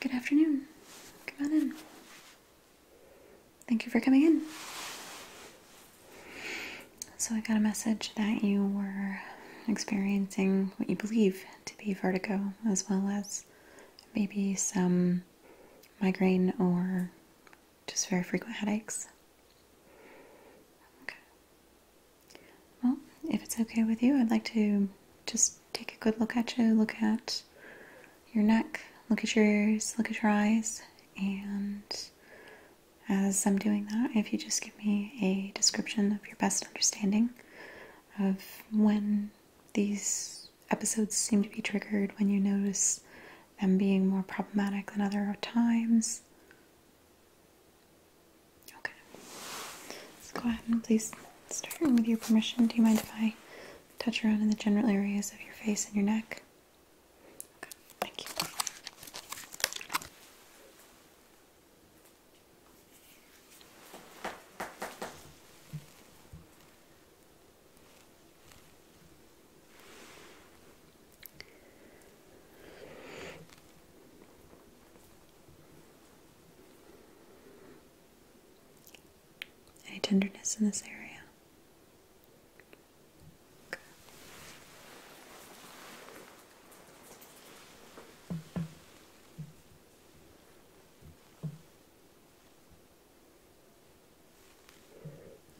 Good afternoon. Come on in. Thank you for coming in. So, I got a message that you were experiencing what you believe to be vertigo, as well as maybe some migraine or just very frequent headaches. Okay. Well, if it's okay with you, I'd like to just take a good look at you, look at your neck, look at your ears, look at your eyes, and as I'm doing that, if you just give me a description of your best understanding of when these episodes seem to be triggered, when you notice them being more problematic than other times. Okay. Let's go ahead and please start with your permission. Do you mind if I touch around in the general areas of your face and your neck? Okay, thank you. Any tenderness in this area? Okay.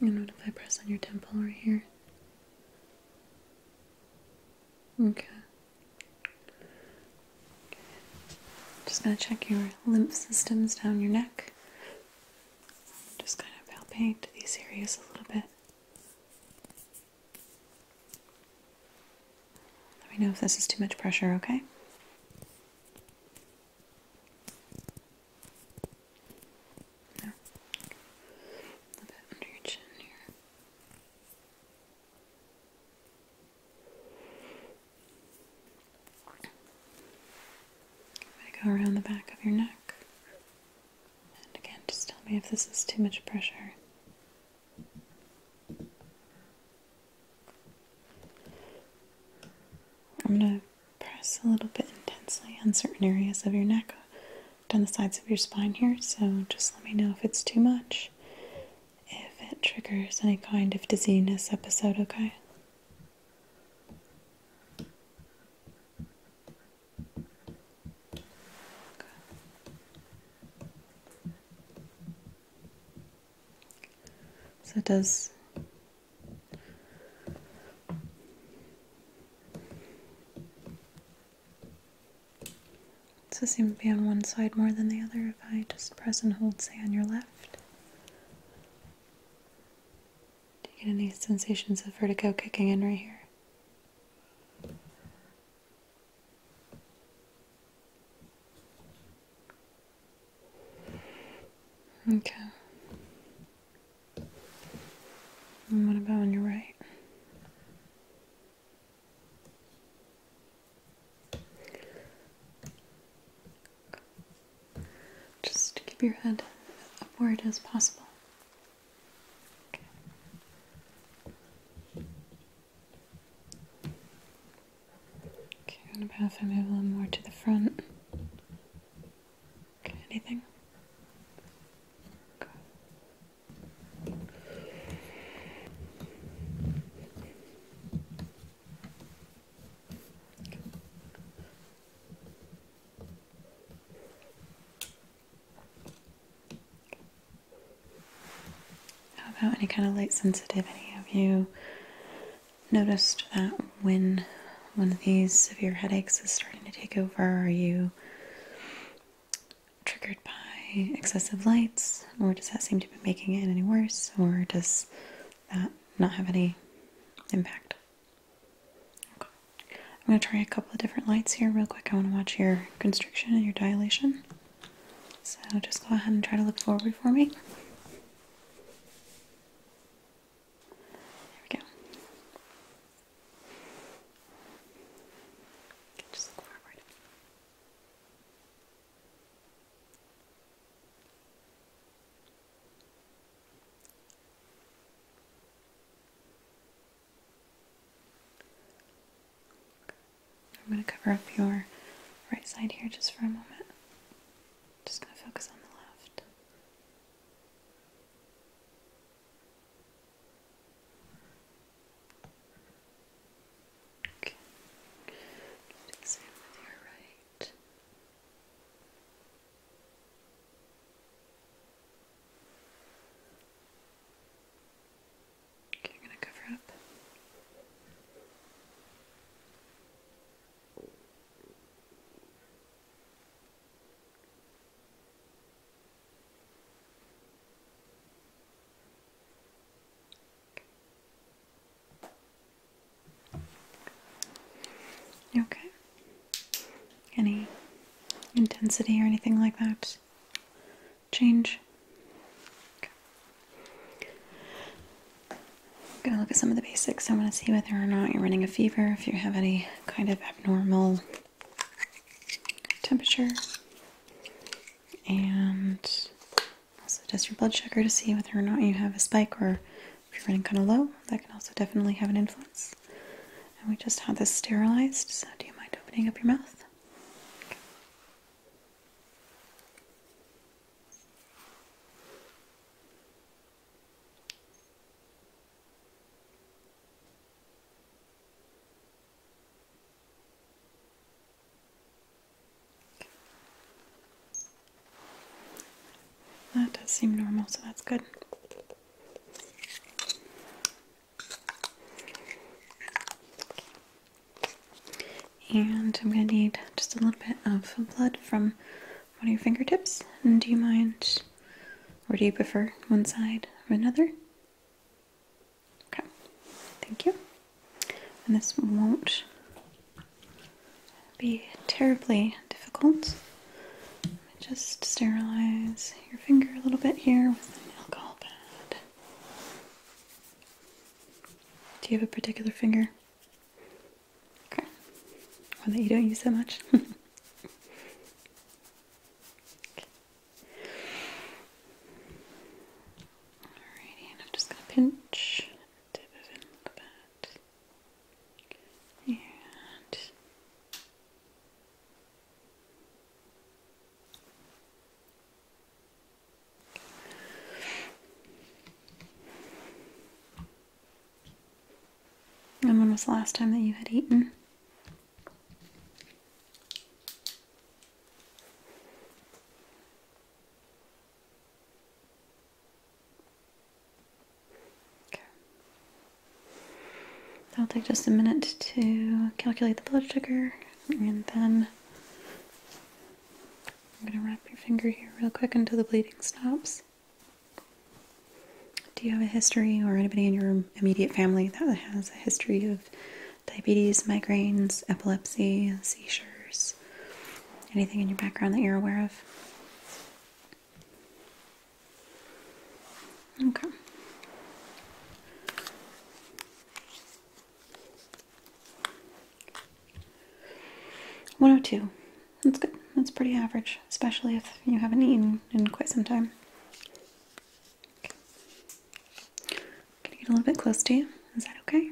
And what if I press on your temple right here? Okay. Just going to check your lymph systems down your neck. Just kind of palpate these areas a little bit. Let me know if this is too much pressure, okay? No. A bit under your chin here. I'm going to go around the back of your neck. And again, just tell me if this is too much pressure. I'm going to press a little bit intensely on certain areas of your neck, down the sides of your spine here, so just let me know if it's too much if it triggers any kind of dizziness episode, okay? So it does does it seem to be on one side more than the other if I just press and hold, say, on your left. Do you get any sensations of vertigo kicking in right here? Okay. what about on your right? Just keep your head upward as possible. Okay. Okay, I'm going move a little more to the front. Okay, anything? How about any kind of light sensitivity? Have you noticed that when one of these severe headaches is starting to take over, are you triggered by excessive lights? or does that seem to be making it any worse, or does that not have any impact? I'm going to try a couple of different lights here real quick. I want to watch your constriction and your dilation. So just go ahead and try to look forward for me. There we go. just look forward. I'm going to cover up your right side here just for a moment. Just going to focus on the left. Okay. Exam with your right. you're gonna cover up. Okay. Any intensity or anything like that? Change? I'm gonna look at some of the basics. I want to see whether or not you're running a fever, if you have any kind of abnormal temperature, and also test your blood sugar to see whether or not you have a spike or if you're running kind of low. That can also definitely have an influence. And we just had this sterilized, so do you mind opening up your mouth? That does seem normal, so that's good. And I'm going to need just a little bit of blood from one of your fingertips. And do you mind, or do you prefer one side or another? Okay, thank you and this won't be terribly difficult. Just sterilize your finger a little bit here with an alcohol pad. Do you have a particular finger? Okay. One that you don't use that much? Alrighty, and I'm just going to pinch a little bit. and when was the last time that you had eaten? i will take just a minute to calculate the blood sugar and then I'm going to wrap your finger here real quick until the bleeding stops. Do you have a history or anybody in your immediate family that has a history of diabetes, migraines, epilepsy, seizures? Anything in your background that you're aware of? Okay. One oh two. That's good. That's pretty average, especially if you haven't eaten in quite some time. Can I get a little bit close to you? Is that okay?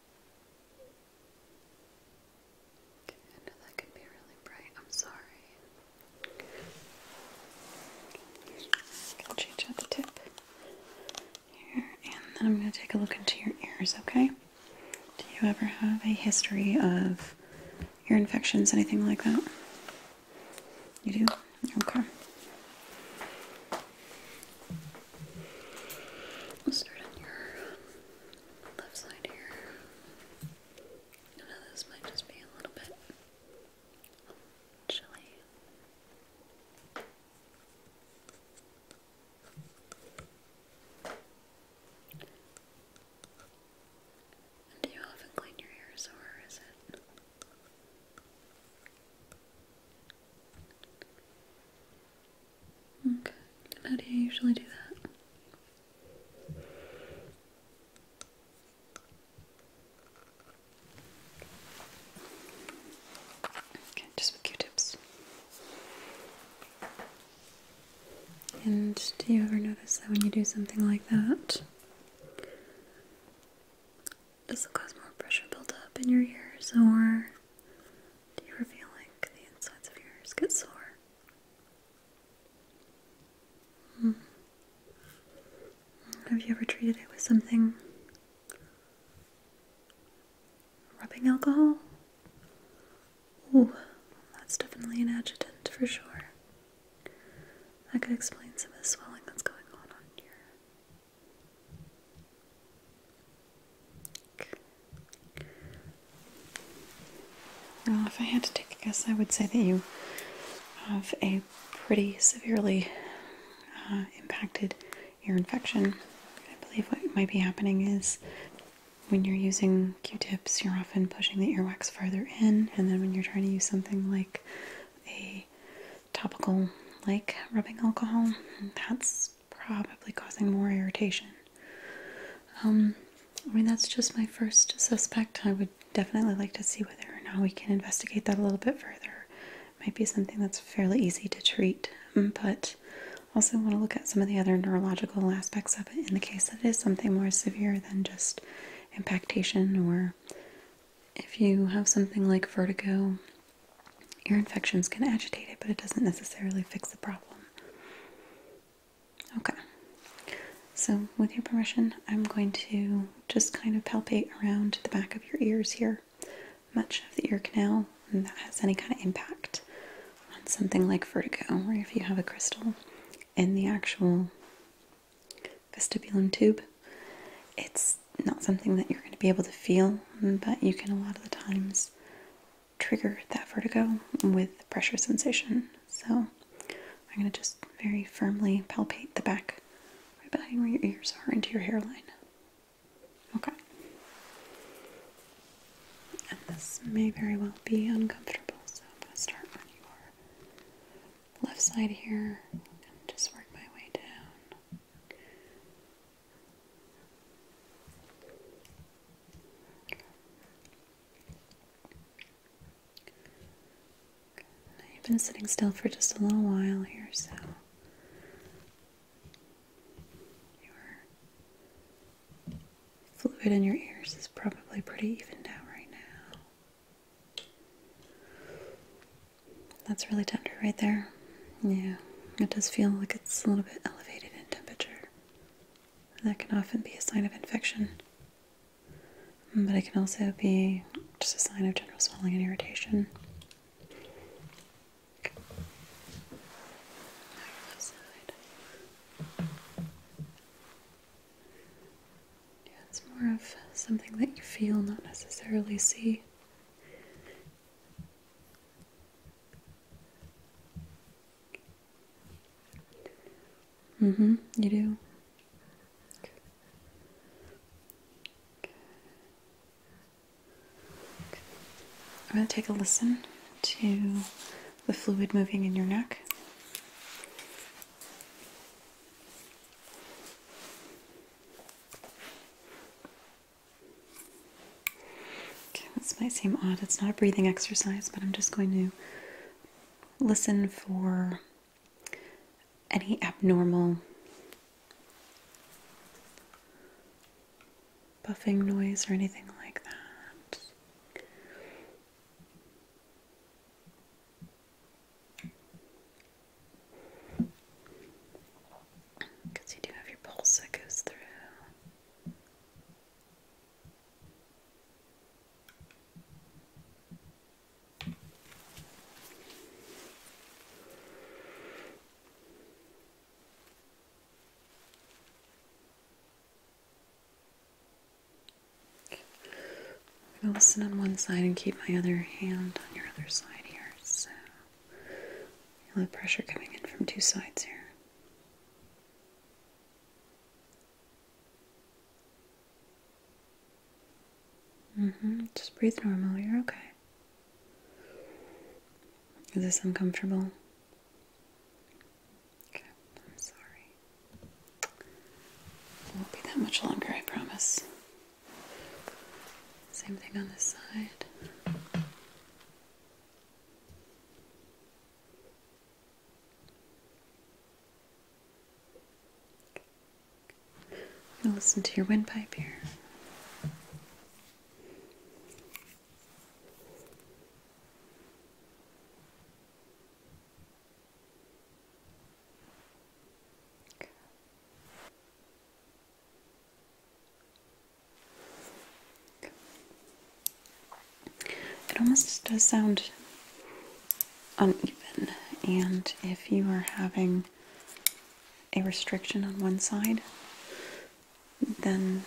I know that could be really bright. I'm sorry. I'll change out the tip here, and then I'm going to take a look into your ears, okay? Do you ever have a history of ear infections, anything like that? You do? Okay. We'll start on your um, left side here. this might just be a little bit chilly. do you often clean your ears, or is it? Okay, how do you usually do that? Okay, just with Q-tips. And do you ever notice that when you do something like that, does it cause more pressure buildup in your ears or you're revealing the insides of your get sore. Hmm. Have you ever treated it with something? Rubbing alcohol? Ooh, that's definitely an adjutant for sure. That could explain some of the swelling that's going on on your now, if I had to take a guess, I would say that you have a pretty severely uh, impacted ear infection. I believe what might be happening is when you're using q tips, you're often pushing the earwax farther in, and then when you're trying to use something like a topical like rubbing alcohol, that's probably causing more irritation. Um, I mean, that's just my first suspect. I would definitely like to see whether or not we can investigate that a little bit further. might be something that's fairly easy to treat, um, but also want to look at some of the other neurological aspects of it in the case that it is something more severe than just impaction, or if you have something like vertigo Ear infections can agitate it, but it doesn't necessarily fix the problem. Okay, so with your permission, I'm going to just kind of palpate around the back of your ears here, much of the ear canal, and that has any kind of impact on something like vertigo, or if you have a crystal in the actual vestibulum tube. It's not something that you're going to be able to feel, but you can a lot of the times trigger that vertigo with pressure sensation. So I'm going to just very firmly palpate the back right behind where your ears are into your hairline. Okay. And this may very well be uncomfortable, so I'm going to start on your left side here and just work my way down you've been sitting still for just a little while here, so your fluid in your ears is probably pretty evened out right now. That's really tender right there. Yeah, it does feel like it's a little bit elevated in temperature. That can often be a sign of infection, but it can also be just a sign of general swelling and irritation. Yeah, it's more of something that you feel, not necessarily see. Mm-hmm, you do. I'm going to take a listen to the fluid moving in your neck. Okay, this might seem odd. It's not a breathing exercise, but I'm just going to listen for any abnormal buffing noise or anything like that. Because you do have your pulse that goes through. I'm going to listen on one side and keep my other hand on your other side here. So. A lot of pressure coming in from two sides here. hmm Just breathe normal. You're okay. Is this uncomfortable? Okay, I'm sorry. It won't be that much longer, I promise. Same thing on this side. And listen to your windpipe here. It almost does sound uneven, and if you are having a restriction on one side, then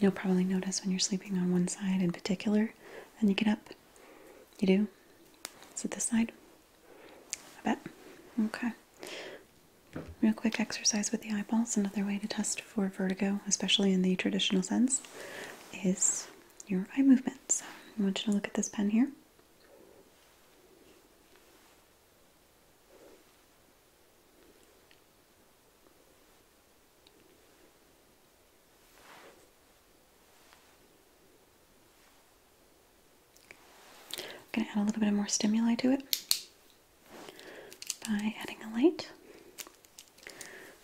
you'll probably notice when you're sleeping on one side in particular. Then you get up. You do? Is it this side? I bet. Okay. Real quick exercise with the eyeballs. Another way to test for vertigo, especially in the traditional sense, is your eye movements. So I want you to look at this pen here. I'm going to add a little bit more stimuli to it by adding a light.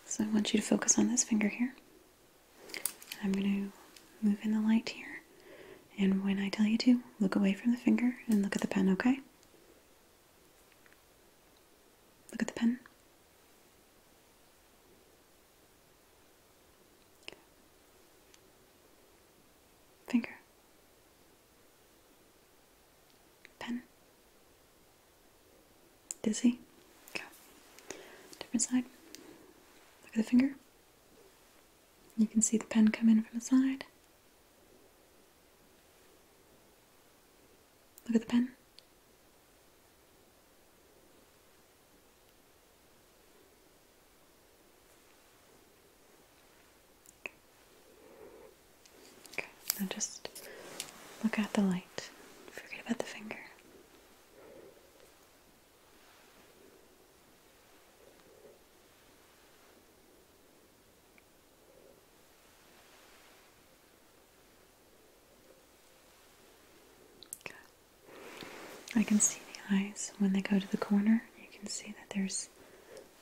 So I want you to focus on this finger here. I'm going to move in the light here. And when I tell you to, look away from the finger and look at the pen, okay? Look at the pen. Finger. Pen. Dizzy. Go. Different side. Look at the finger. You can see the pen come in from the side. Look at the pen. Okay, now just look at the light. Forget about the finger. Okay. I can see the eyes when they go to the corner. You can see that there's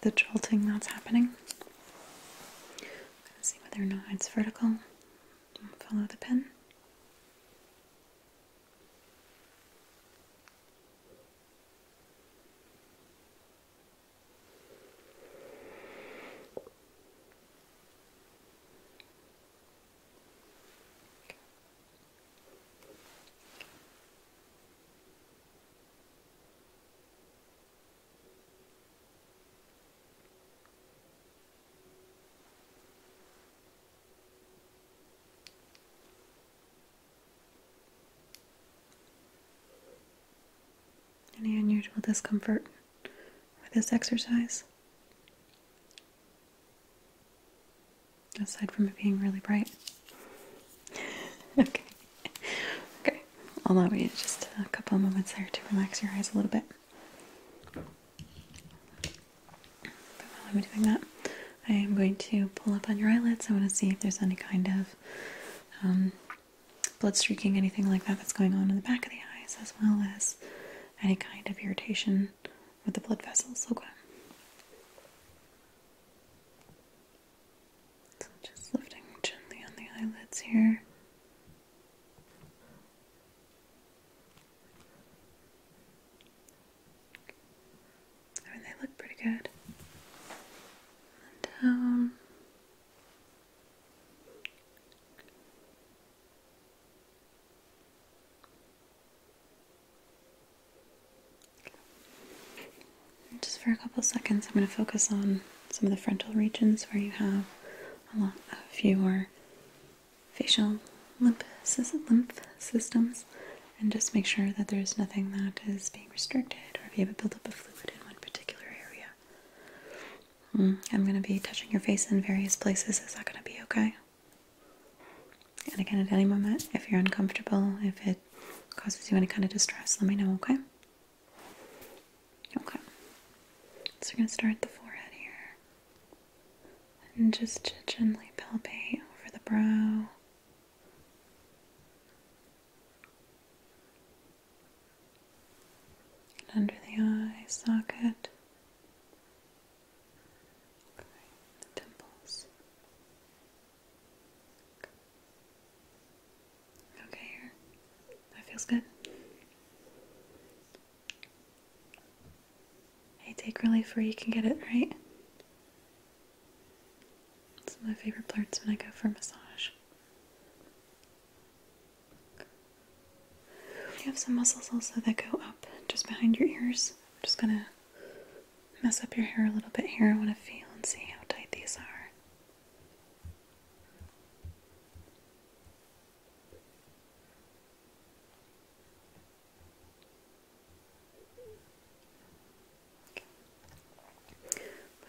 the jolting that's happening. I'm going to see whether or not it's vertical. Follow the pen. Any unusual discomfort with this exercise? Aside from it being really bright okay. Okay. I'll allow you just a couple of moments there to relax your eyes a little bit. But while I'm doing that, I am going to pull up on your eyelids. I want to see if there's any kind of um, blood streaking, anything like that that's going on in the back of the eyes, as well as any kind of irritation with the blood vessels. Okay just lifting gently on the eyelids here. I mean, they look pretty good. down just for a couple seconds, I'm going to focus on some of the frontal regions where you have a lot of your facial lymph, systems and just make sure that there's nothing that is being restricted or if you have a buildup of fluid in one particular area. Mm, I'm going to be touching your face in various places. Is that going to be okay? And again, at any moment, if you're uncomfortable, if it causes you any kind of distress, let me know, okay? Okay. So we're going to start the forehead here. And just gently palpate over the brow. And under the eye socket. Okay, the temples. Okay, here. That feels good. Hey, take relief where you can get it, right? It's my favorite parts when I go for massage. You have some muscles also that go up just behind your ears. I'm just gonna mess up your hair a little bit here. I want to feel and see how tight these are.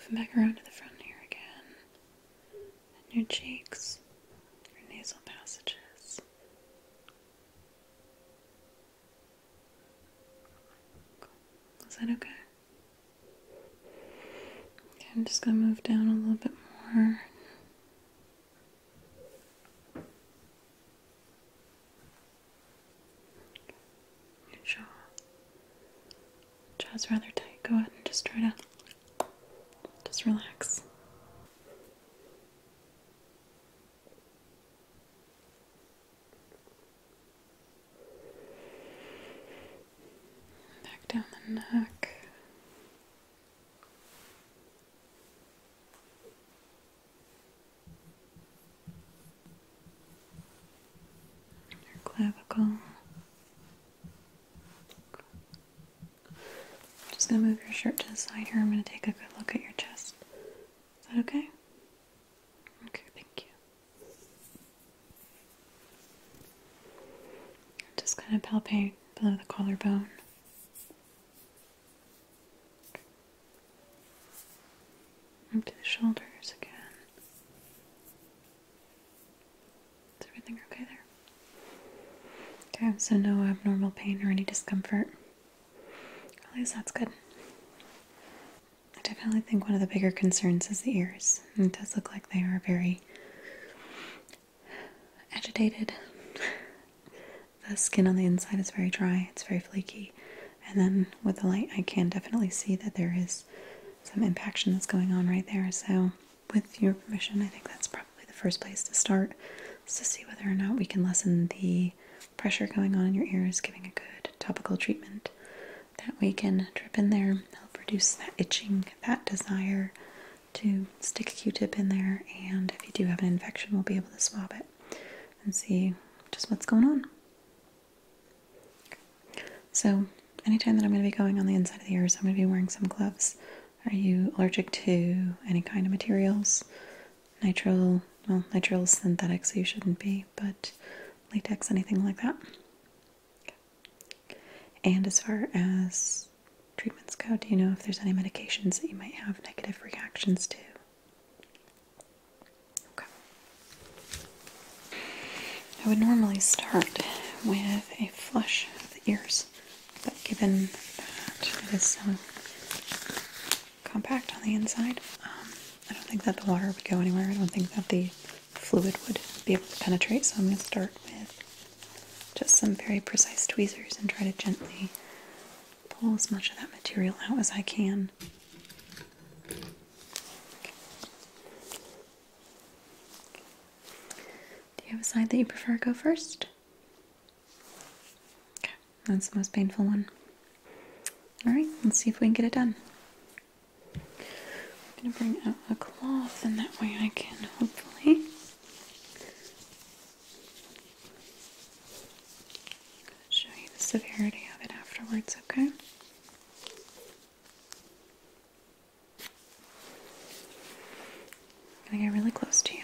Moving back around to the front here again, and your cheeks, your nasal passages. Is that okay? I'm just going to move down a little bit more. jaw. Jaw's rather tight. Go ahead and just try to just relax. Back down the neck. clavicle. just gonna move your shirt to the side here. I'm gonna take a good look at your chest. Is that okay? Okay, thank you. Just kind of palpate below the collarbone. Up to the shoulders again. Is everything okay there? Okay, so no abnormal pain or any discomfort. At least that's good. I definitely think one of the bigger concerns is the ears. it does look like they are very agitated. the skin on the inside is very dry, it's very flaky. And then with the light, I can definitely see that there is some impaction that's going on right there. So, with your permission, I think that's probably the first place to start is to see whether or not we can lessen the pressure going on in your ears, giving a good topical treatment that we can drip in there. Help reduce that itching, that desire to stick a Q-tip in there. And if you do have an infection, we'll be able to swab it and see just what's going on. So, anytime that I'm going to be going on the inside of the ears, I'm going to be wearing some gloves. Are you allergic to any kind of materials? Nitrile, well, nitrile synthetic, so you shouldn't be, but latex, anything like that. And as far as treatments go, do you know if there's any medications that you might have negative reactions to? Okay. I would normally start with a flush of the ears, but given that it is so compact on the inside, um, I don't think that the water would go anywhere. I don't think that the fluid would be able to penetrate. So I'm going to start with just some very precise tweezers and try to gently pull as much of that material out as I can. Do you have a side that you prefer go first? Okay, that's the most painful one. Alright, let's see if we can get it done. I'm going to bring out a cloth and that way I can hopefully show you the severity of it afterwards, okay? I'm going to get really close to you.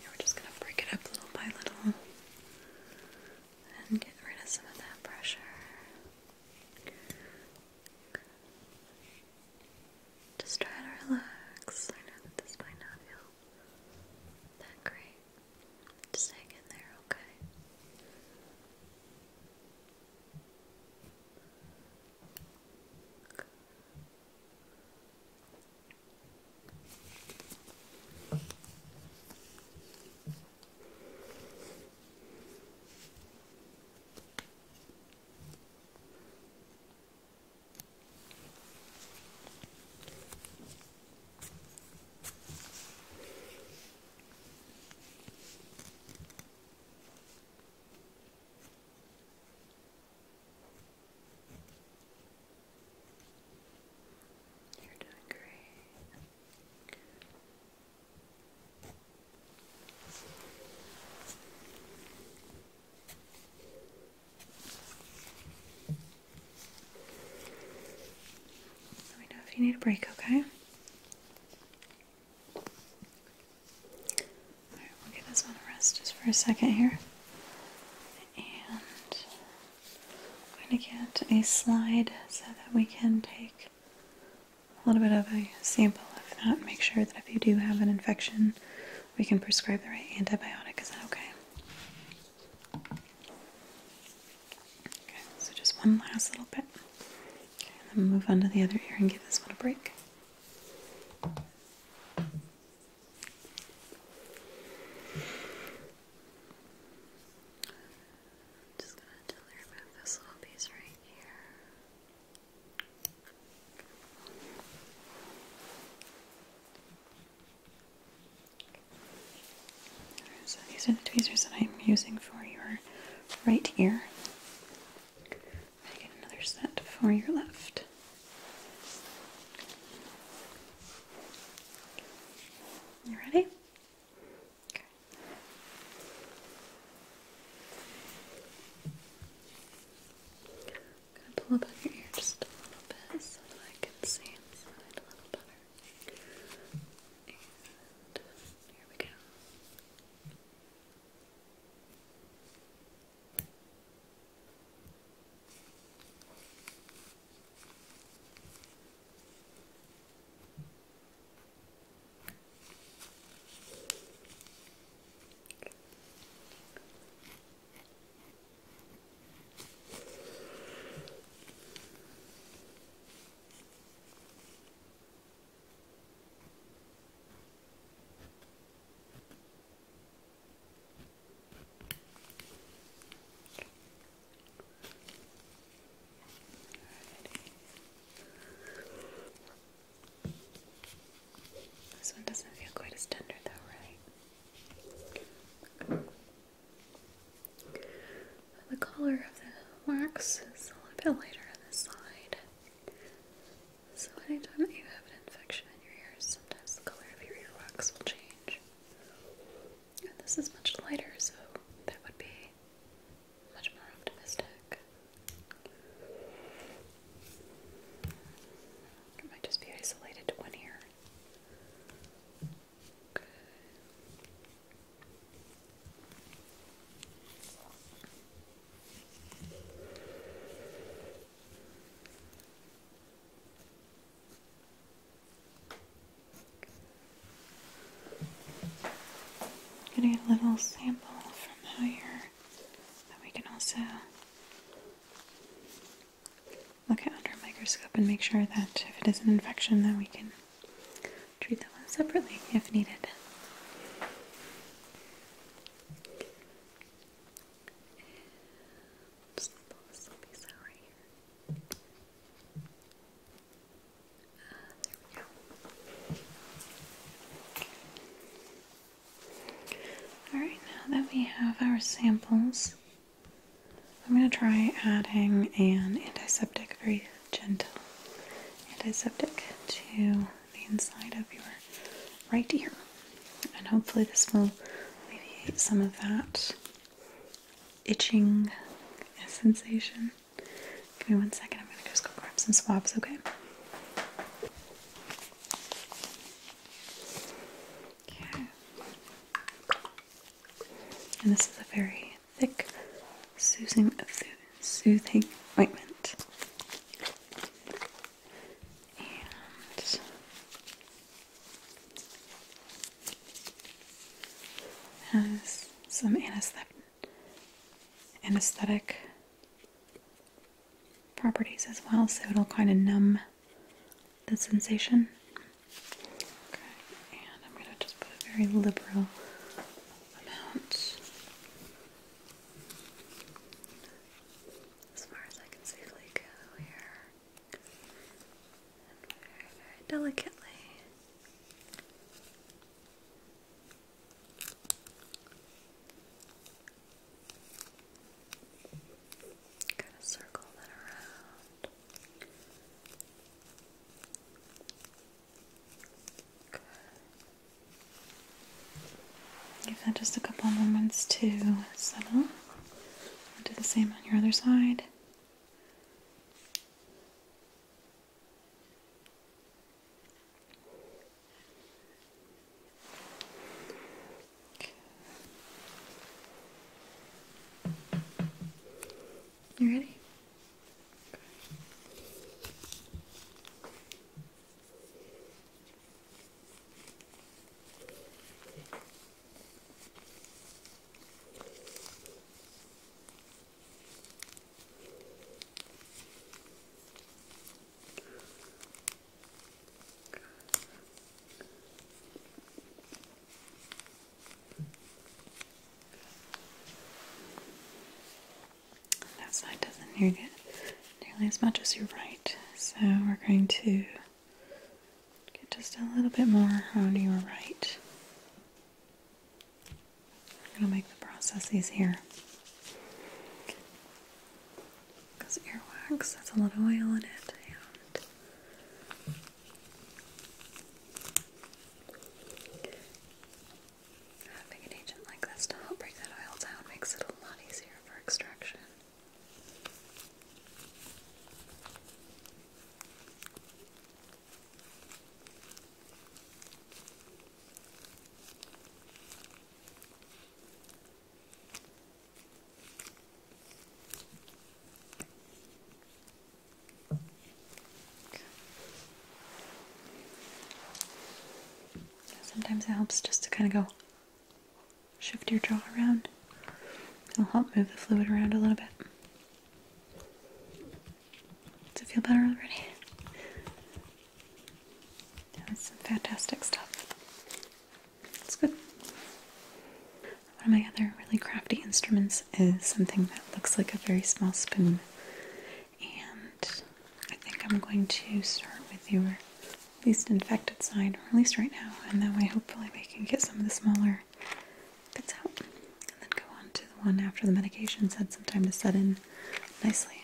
Now we're just going to break it up little by little and get rid of some of that pressure. Just try to relax. I know that this might not feel that great? Just hang in there, okay? You're doing great. Good. Let me know if you need a break, okay? Alright, we'll give this one a rest just for a second here. And I'm going to get a slide so that we can take a little bit of a sample of that. Make sure that if you do have an infection, we can prescribe the right antibiotic. Is that okay? Okay, so just one last little bit. Okay, and then move on to the other ear and give this one a break. just gonna gently remove this little piece right here. So these are the tweezers that I'm using for your right ear. I get another set for your left. You ready? I'm going to pull up on your ear just a little bit so that I can see inside a little better. And here we go. This one doesn't feel quite as tender, though, right? The color of the wax is a little bit lighter on this side. So anytime that you have an infection in your ears, sometimes the color of your ear wax will change. And this is much lighter, so that would be much more optimistic. It might just be isolated to one ear. Okay. a little sample from how you that we can also look at under a microscope and make sure that if it is an infection that we can treat that one separately if needed. Alright, ah, now that we have our samples, I'm going to try adding an antiseptic, very gentle antiseptic to the inside of your right ear. And hopefully, this will alleviate some of that itching sensation. Give me one second, I'm going to go grab some swabs, okay? Okay. And this is a very thick, soothing, soothing ointment. And has some anesthetic, anesthetic properties as well, so it'll kind of numb the sensation. Okay, and I'm going to just put a very liberal amount as far as I can safely go here. And very, very delicately. Kind of circle that around. Give that just a couple moments to settle. Do the same on your other side. You ready? That side doesn't need nearly as much as your right, so we're going to get just a little bit more on your right. I'm gonna make the process easier. Because earwax has a lot of oil in it, and having an agent like this to help break that oil down makes it a lot easier for extraction. Sometimes it helps just to kind of go shift your jaw around. It'll help move the fluid around a little bit. Does it feel better already? That's some fantastic stuff. It's good. One of my other really crafty instruments is something that looks like a very small spoon. And I think I'm going to start with your least infected side, or at least right now, and that way hopefully we can get some of the smaller bits out. And then go on to the one after the medications had some time to set in nicely.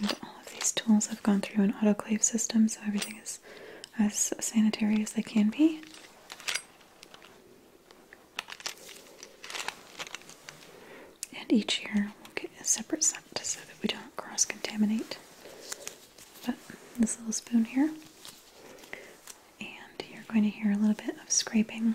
And all of these tools have gone through an autoclave system, so everything is as sanitary as they can be. And each year we'll get a separate scent so that we don't cross contaminate. But this little spoon here, and you're going to hear a little bit of scraping.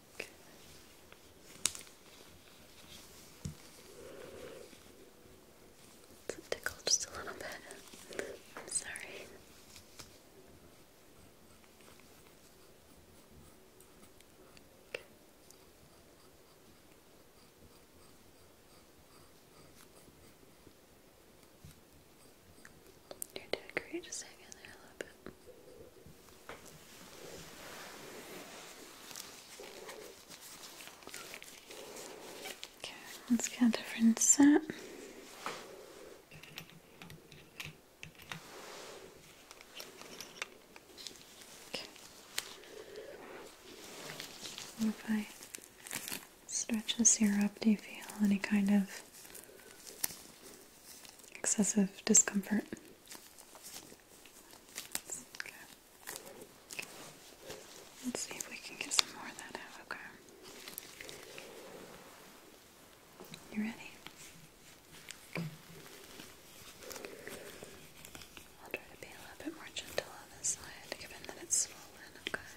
Okay. tickled just a little bit. I'm sorry. You're doing great. Just hang in there Okay, let's get a different set. Okay. if I stretch this ear up, do you feel any kind of excessive discomfort? Let's see if we can get some more of that out, okay? You ready? I'll try to be a little bit more gentle on this side, given that it's swollen, okay?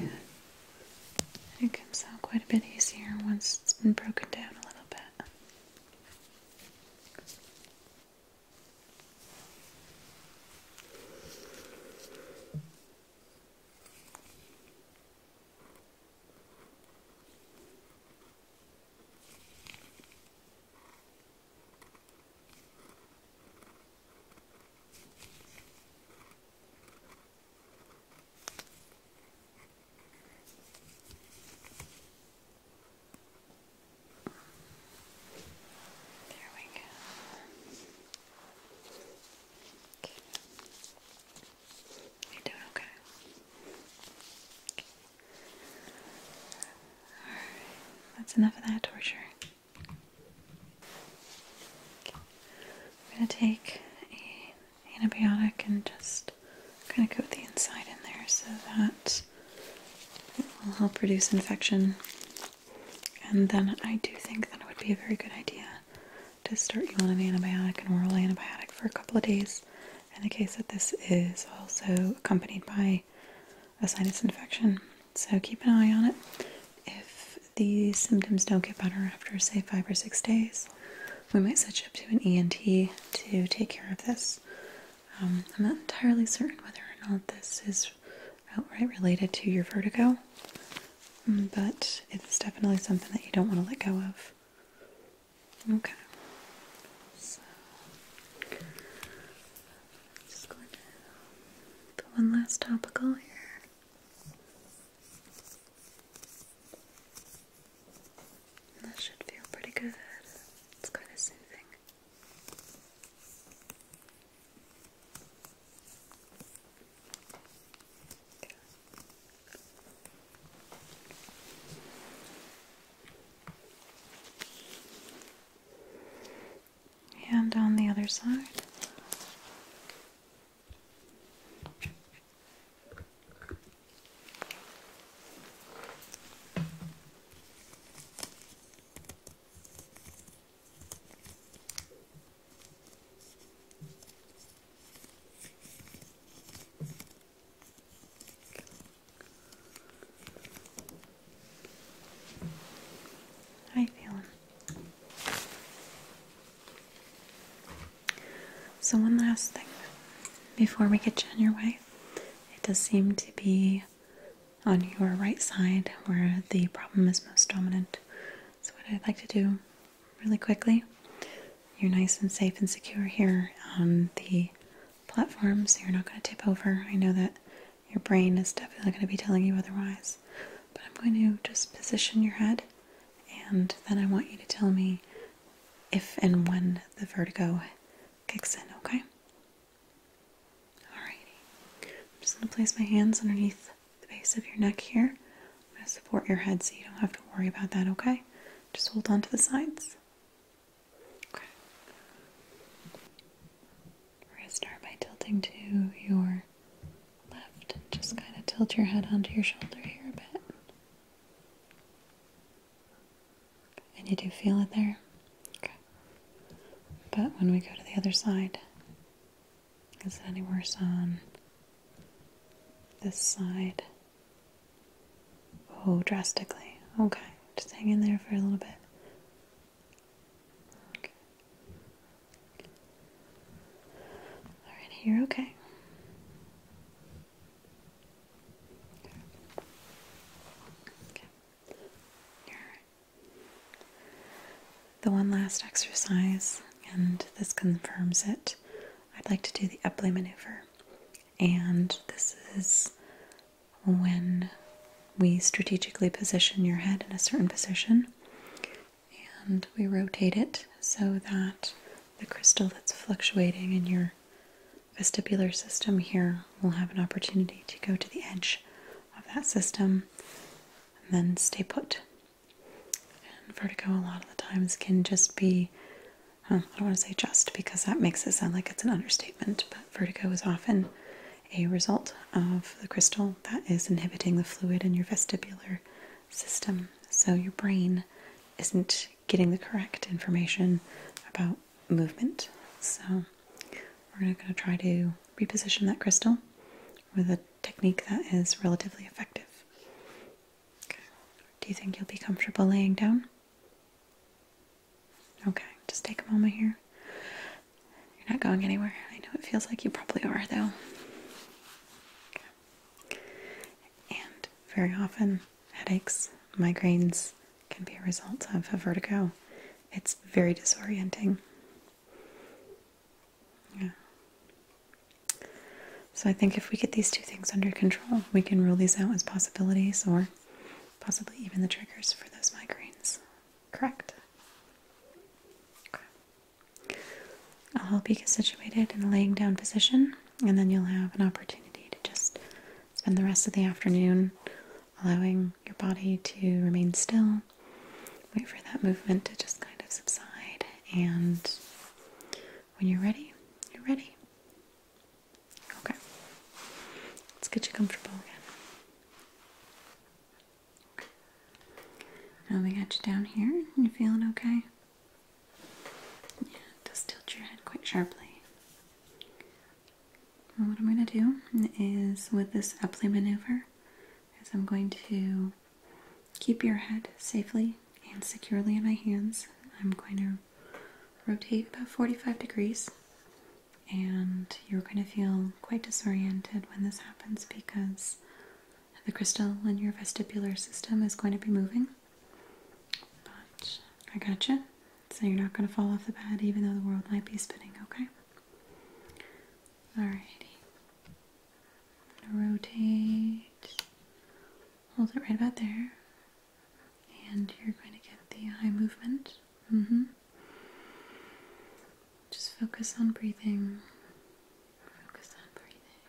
Yeah. It comes out quite a bit easier once it's been broken down a little bit. There we go. You're doing okay. Alright, that's enough of that torture. I'm going to take an antibiotic and just kind of coat the inside in there so that it will help reduce infection. And then I do think that it would be a very good idea to start you on an antibiotic, an oral antibiotic, for a couple of days in the case that this is also accompanied by a sinus infection. So keep an eye on it. If these symptoms don't get better after, say, five or six days, we might set you up to an ENT to take care of this. Um, I'm not entirely certain whether or not this is outright related to your vertigo, um, but it's definitely something that you don't want to let go of. Okay. just going to put one last topical here. And that should feel pretty good. It's kind of soothing. And on the other side. How you so, one last thing before we get you on your way, it does seem to be on your right side where the problem is most dominant. So, what I'd like to do really quickly, you're nice and safe and secure here on the platform, so you're not going to tip over. I know that your brain is definitely going to be telling you otherwise, but I'm going to just position your head and then I want you to tell me if and when the vertigo kicks in, okay? Alrighty. I'm just going to place my hands underneath the base of your neck here. I'm going to support your head so you don't have to worry about that, okay? Just hold on to the sides. Okay. We're going to start by tilting to your left just kind of tilt your head onto your shoulder here a bit. And you do feel it there? Okay. But when we go to the other side, is it any worse on this side? Oh, drastically. Okay. Just hang in there for a little bit. All right, here, okay. The one last exercise, and this confirms it. I'd like to do the epley maneuver, and this is when we strategically position your head in a certain position and we rotate it so that the crystal that's fluctuating in your vestibular system here will have an opportunity to go to the edge of that system and then stay put. And vertigo, a lot of the times, can just be I don't want to say just because that makes it sound like it's an understatement, but vertigo is often a result of the crystal that is inhibiting the fluid in your vestibular system, so your brain isn't getting the correct information about movement. So, we're going to try to reposition that crystal with a technique that is relatively effective. Do you think you'll be comfortable laying down? Okay, just take a moment here. You're not going anywhere. I know it feels like you probably are, though. And very often, headaches, migraines can be a result of a vertigo. It's very disorienting. Yeah. So I think if we get these two things under control, we can rule these out as possibilities or possibly even the triggers for those migraines. Correct? I'll help you get situated in a laying down position, and then you'll have an opportunity to just spend the rest of the afternoon allowing your body to remain still. Wait for that movement to just kind of subside, and when you're ready, you're ready. Okay, let's get you comfortable again. Now we got you down here. You feeling okay? Yeah, does tilt your head quite sharply. what I'm going to do is with this Epley maneuver is I'm going to keep your head safely and securely in my hands. I'm going to rotate about 45 degrees and you're going to feel quite disoriented when this happens because the crystal in your vestibular system is going to be moving. But I gotcha. So you're not going to fall off the bed even though the world might be spinning, okay? All righty. Rotate. Hold it right about there. And you're going to get the eye movement. Mm-hmm. Just focus on breathing. Focus on breathing.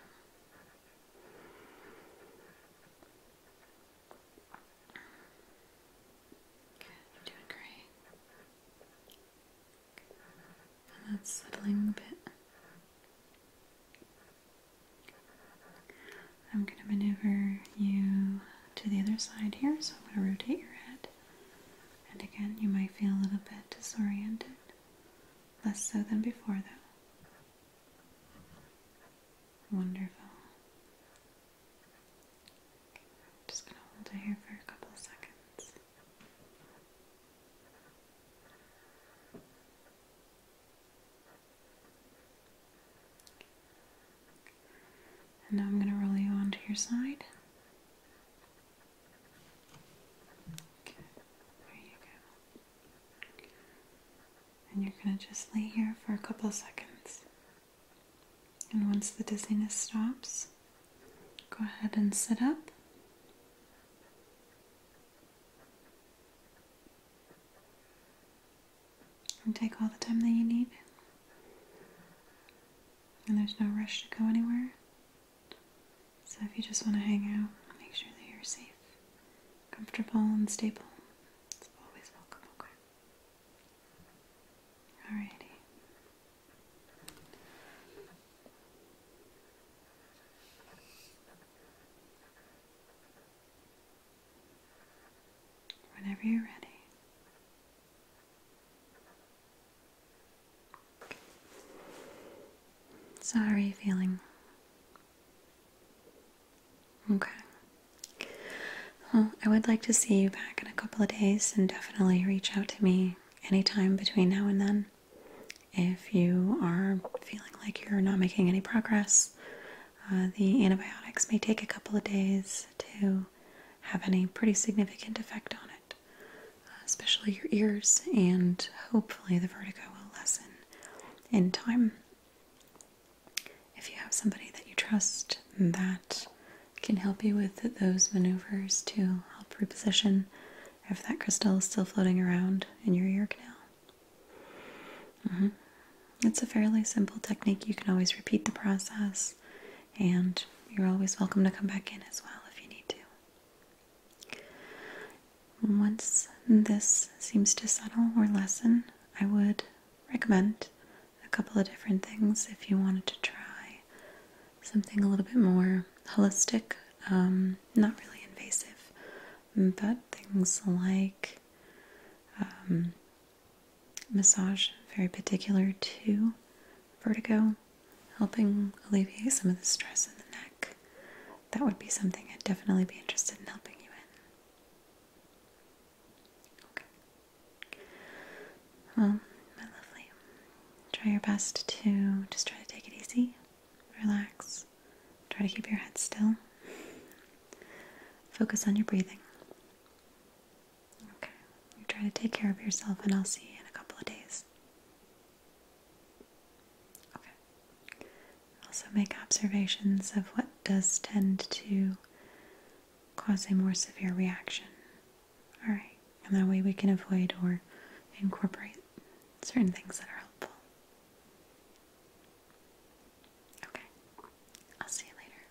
you're doing great. And that's settling a bit. I'm going to maneuver you to the other side here, so I'm going to rotate your head. And again, you might feel a little bit disoriented less so than before, though. Wonderful. just going to hold it here for a couple of seconds. And now I'm going to roll you onto your side. And you're going to just lay here for a couple seconds. And once the dizziness stops, go ahead and sit up. And take all the time that you need. And there's no rush to go anywhere. So if you just want to hang out, make sure that you're safe, comfortable, and stable. It's always welcome, Alrighty. Whenever you're ready, so, how are you feeling? Okay. Well, I would like to see you back in a couple of days and definitely reach out to me anytime between now and then. If you are feeling like you're not making any progress, uh, the antibiotics may take a couple of days to have any pretty significant effect on it. Uh, especially your ears, and hopefully the vertigo will lessen in time. If you have somebody that you trust that can help you with those maneuvers to help reposition if that crystal is still floating around in your ear canal. Mm-hmm. It's a fairly simple technique. You can always repeat the process, and you're always welcome to come back in as well if you need to. Once this seems to settle or lessen, I would recommend a couple of different things if you wanted to try something a little bit more holistic, um, not really invasive, but things like um, massage, very particular to vertigo, helping alleviate some of the stress in the neck, that would be something I'd definitely be interested in helping you in. Okay. Well, my lovely, try your best to just try to take it easy, relax, try to keep your head still, focus on your breathing. Okay, try to take care of yourself, and I'll see you in a couple of days. Okay. Also make observations of what does tend to cause a more severe reaction. All right, and that way we can avoid or incorporate certain things that are helpful. Okay, I'll see you later.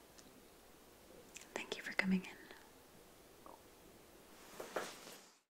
Thank you for coming in.